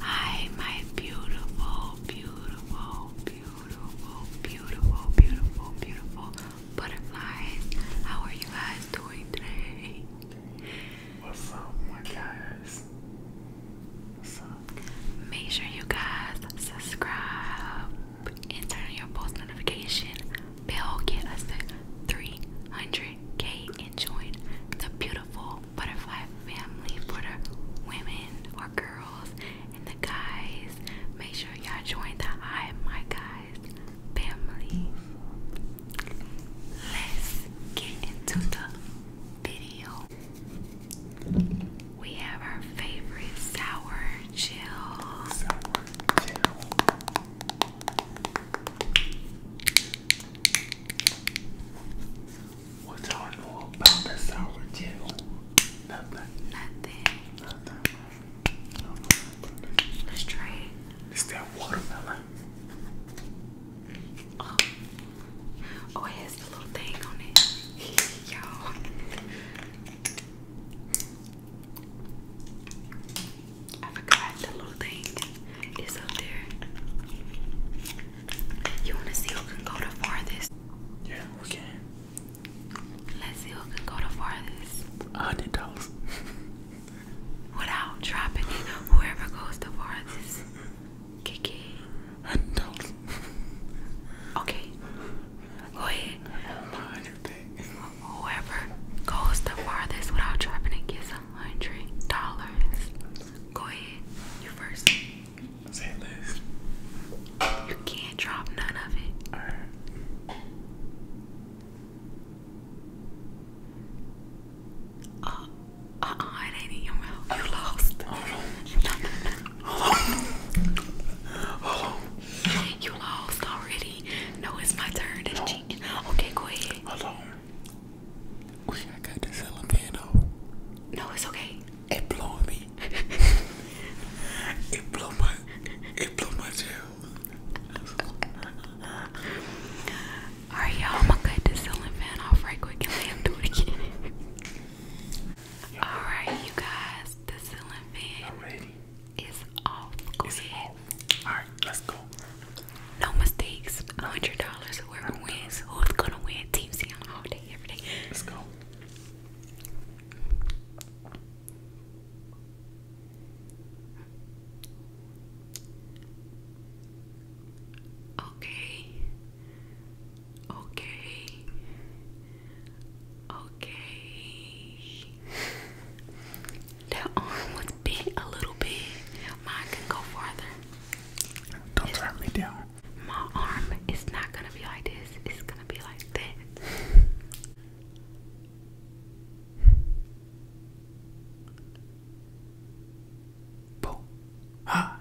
Hi, my beautiful, beautiful, beautiful, beautiful, beautiful, beautiful butterflies. How are you guys doing today? What's up, my guys? What's up? Make sure you guys subscribe and turn on your post notification bell. Get us to 300 and join the beautiful butterfly family for the women or girls and the guys. Make sure y'all join the I Am My Guys family. Let's get into the video. We have our favorite sour chill. Sour chill. What's all know about the sour gel? Nothing. Nothing. Let's try it. Is that watermelon? Oh, oh it has the little thing on it. Y'all. I forgot the little thing is up there. You wanna see who can go the farthest? Yeah, we can. Let's see who can go the farthest. hundred dollars. Without dropping it, whoever goes the farthest. Kiki. Hundred dollars. Okay. Go ahead. Whoever goes the farthest without dropping it gets a hundred dollars. Go ahead, you first. Say this. You can't drop none of it. Uh, uh, uh, it ain't in your mouth. You lost. You lost already. No, it's my turn. That's cheating. Okay, go ahead. We I got this elemental. No, it's okay. It blew me. it blew my it blew my tail. Alright y'all, I'm gonna cut this ceiling fan off right quick and do it again. Alright you guys, the ceiling fan it's off. All right, let's go. No mistakes. $100. Whoever wins, who's gonna win? Team all day, every day. Let's go. Okay. Okay. Okay. That arm was bent a little bit. Mine can go farther. Don't it's, me down. My arm is not gonna be like this. It's gonna be like that. Ah.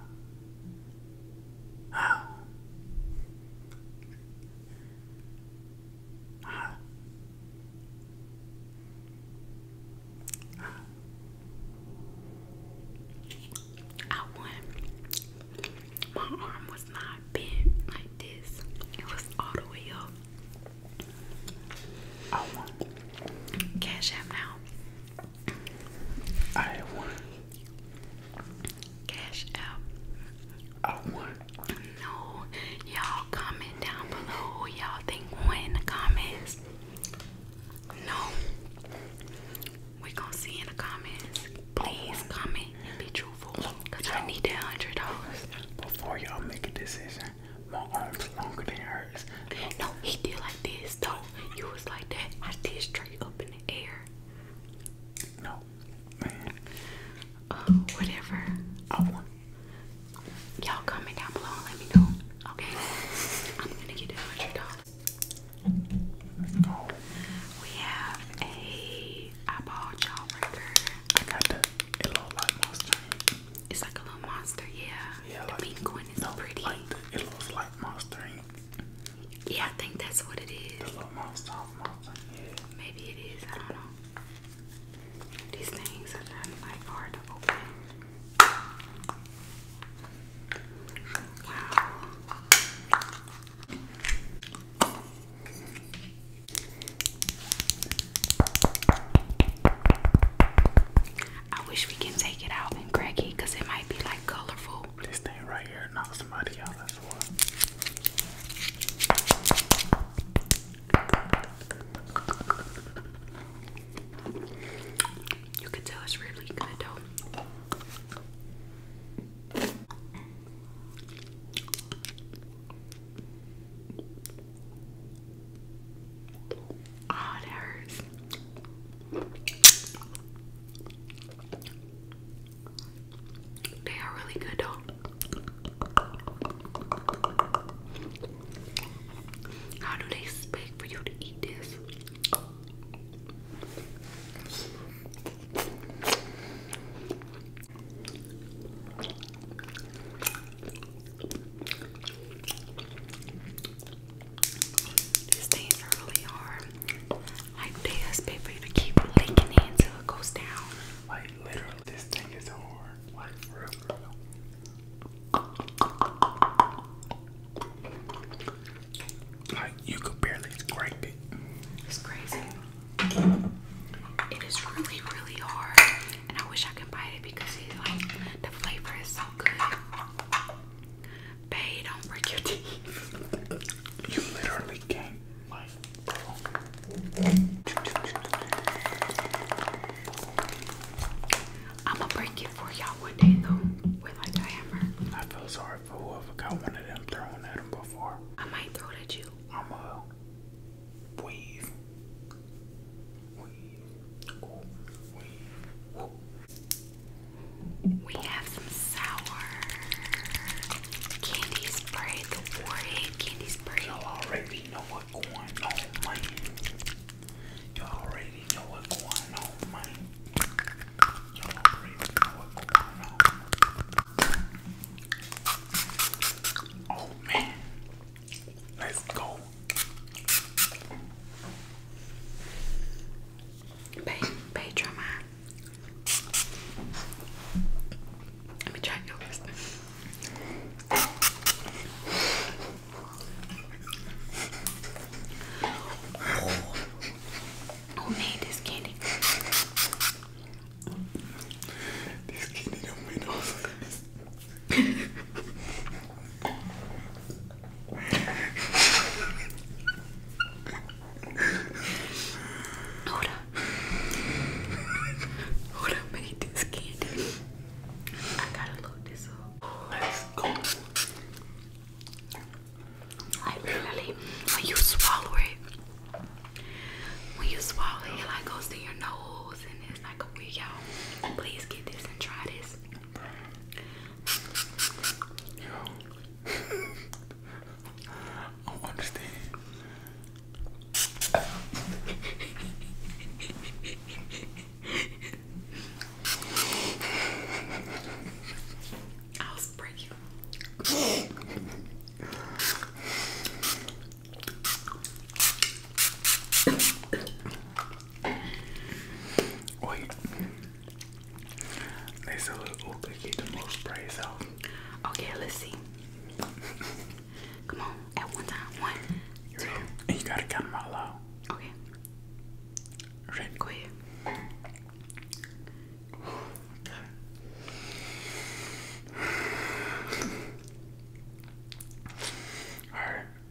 Ah. I won. My arm was not bent like this. It was all the way up. I won. Cash out. now. I won. Cash app. I won. No, y'all comment down below y'all think won in the comments. No, we gonna see in the comments. Please comment and be truthful, cause I need that hundred dollars. Before y'all make a decision, my arms longer than hers. No, he did like this though. You was like that. I did straight up in the air. No, Oh, whatever. I want. Y'all comment down below and let me know. Okay. I'm gonna get hundred dollars. We have a eyeball jawbreaker. I got that. It looks like monster. It's like a little monster, yeah. Yeah. like, pink one is pretty. Like it looks like monster. Yeah, I think that's what it is. The little monster, monster. Yeah. Maybe it is. I don't know these things are then like hard to open. Wow. I wish we can take it out and crack it because it might be like colorful. This thing right here knocked somebody out you can tell it's really good though. Oh, that hurts. They are really good though. How do they expect for you to eat this? These things are really hard. Like they expect to keep licking it until it goes down. Like literally, this thing is hard. Like you could barely scrape it. It's crazy. It is really, really hard, and I wish I could bite it because like the flavor is so good. Bae, don't break your teeth. you literally can't, I'ma break it for y'all one day though, with like hammer. I feel sorry for whoever got one of them thrown at him before. I might throw it at you. I'ma weave. Weave. Weave. We have some sour candy spray, the warhead candy spray. Y'all already know what's going on, Y'all already know what's going on. Oh man, let's go. Pay, pay drummer. Let me try yours. Who made this candy? This candy don't Ahora, ahora made this candy. I gotta load this up. Let's go. when you swallow it, when you swallow it, it like goes to your nose and it's like a wig out. Please get this and try this. Yo. I understand. I'll spray you. Wait. They sell an old cookie the most praise out. Okay, let's see. Come on, at one time. One. You you gotta count them out loud. Okay. Ready? Alright.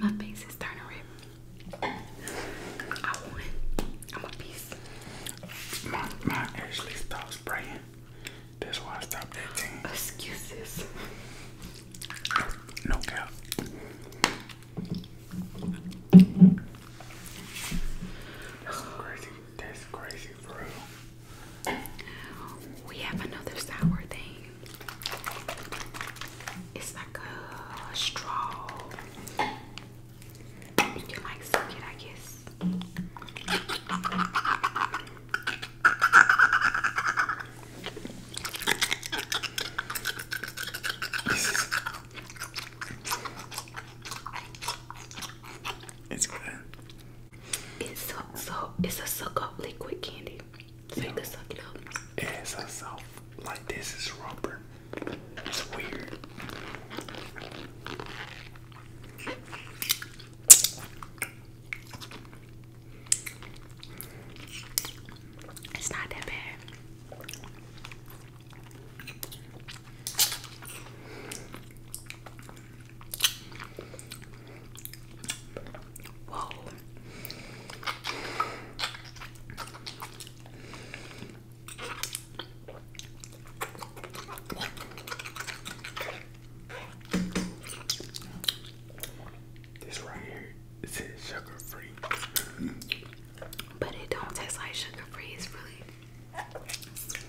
My face is turning red. I want I'm a piece. My my actually stopped spraying. That's why I stopped that thing. Excuses. No cap. That's crazy. That's crazy, bro. We have another sour thing. It's like a straw. You like suck it, I guess. It's good. It's so so. It's a suck up liquid candy. Fake is sucking out. As a soft, like this is rubber. It's weird. It's not that bad. Whoa. This right here it says sugar free. But it don't taste like sugar free, it's really sweet.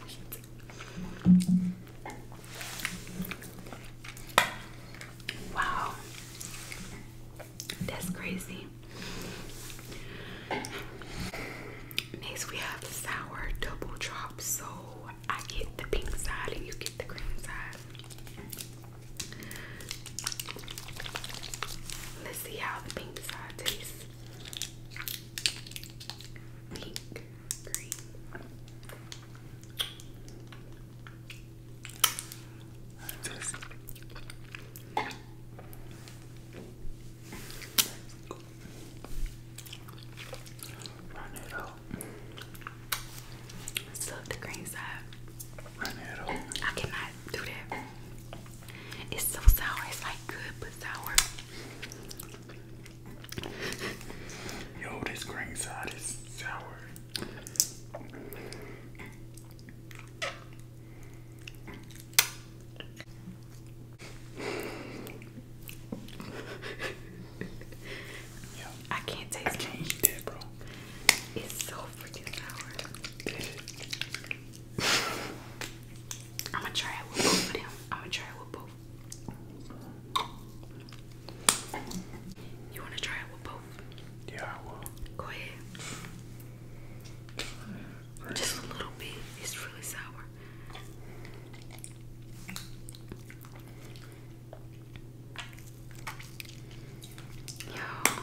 Wow. That's crazy. Next we have sour double drop. So I get the pink side and you get the green side. Let's see how the pink side tastes. Pink green. the green side. I cannot do that. It's so sour. It's like good but sour. Yo, this green side is sour. Yo, I can't taste I can't eat that, bro. It's so freaking sour. I'm gonna try it with both of them. I'm gonna try it with both. You want to try it with both? Yeah, I will. Go ahead. Just a little bit. It's really sour. Yo,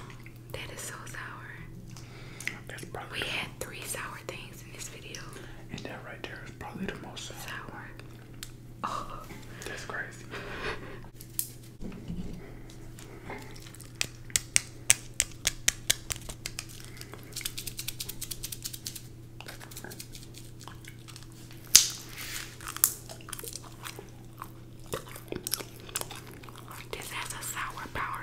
that is so sour. we had three sour things in this video. And that right there is probably the most sour. sour. Oh. That's crazy. This has a sour powder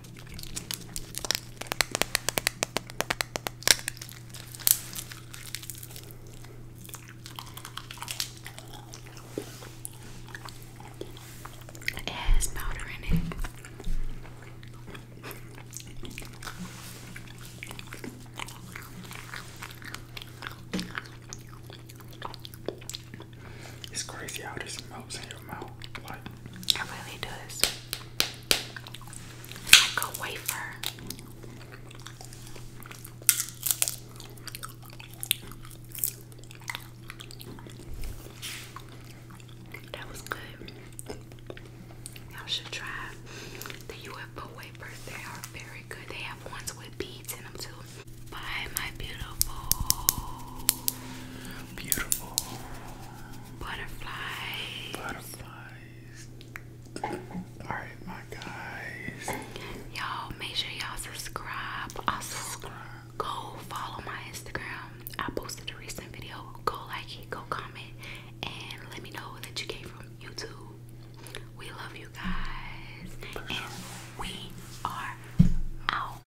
It has powder in it. It's crazy how this melts in your mouth. It really does. like a wafer. That was good. you should try the UFO wafers. They are very good. They have ones with beads in them too. Bye, my beautiful. Beautiful. Butterflies. Butterflies. Alright, my guys. Y'all, make sure y'all subscribe. Also, subscribe. go follow my Instagram. I posted a recent video. Go like it, go comment, and let me know that you came from YouTube. We love you guys. And we are out.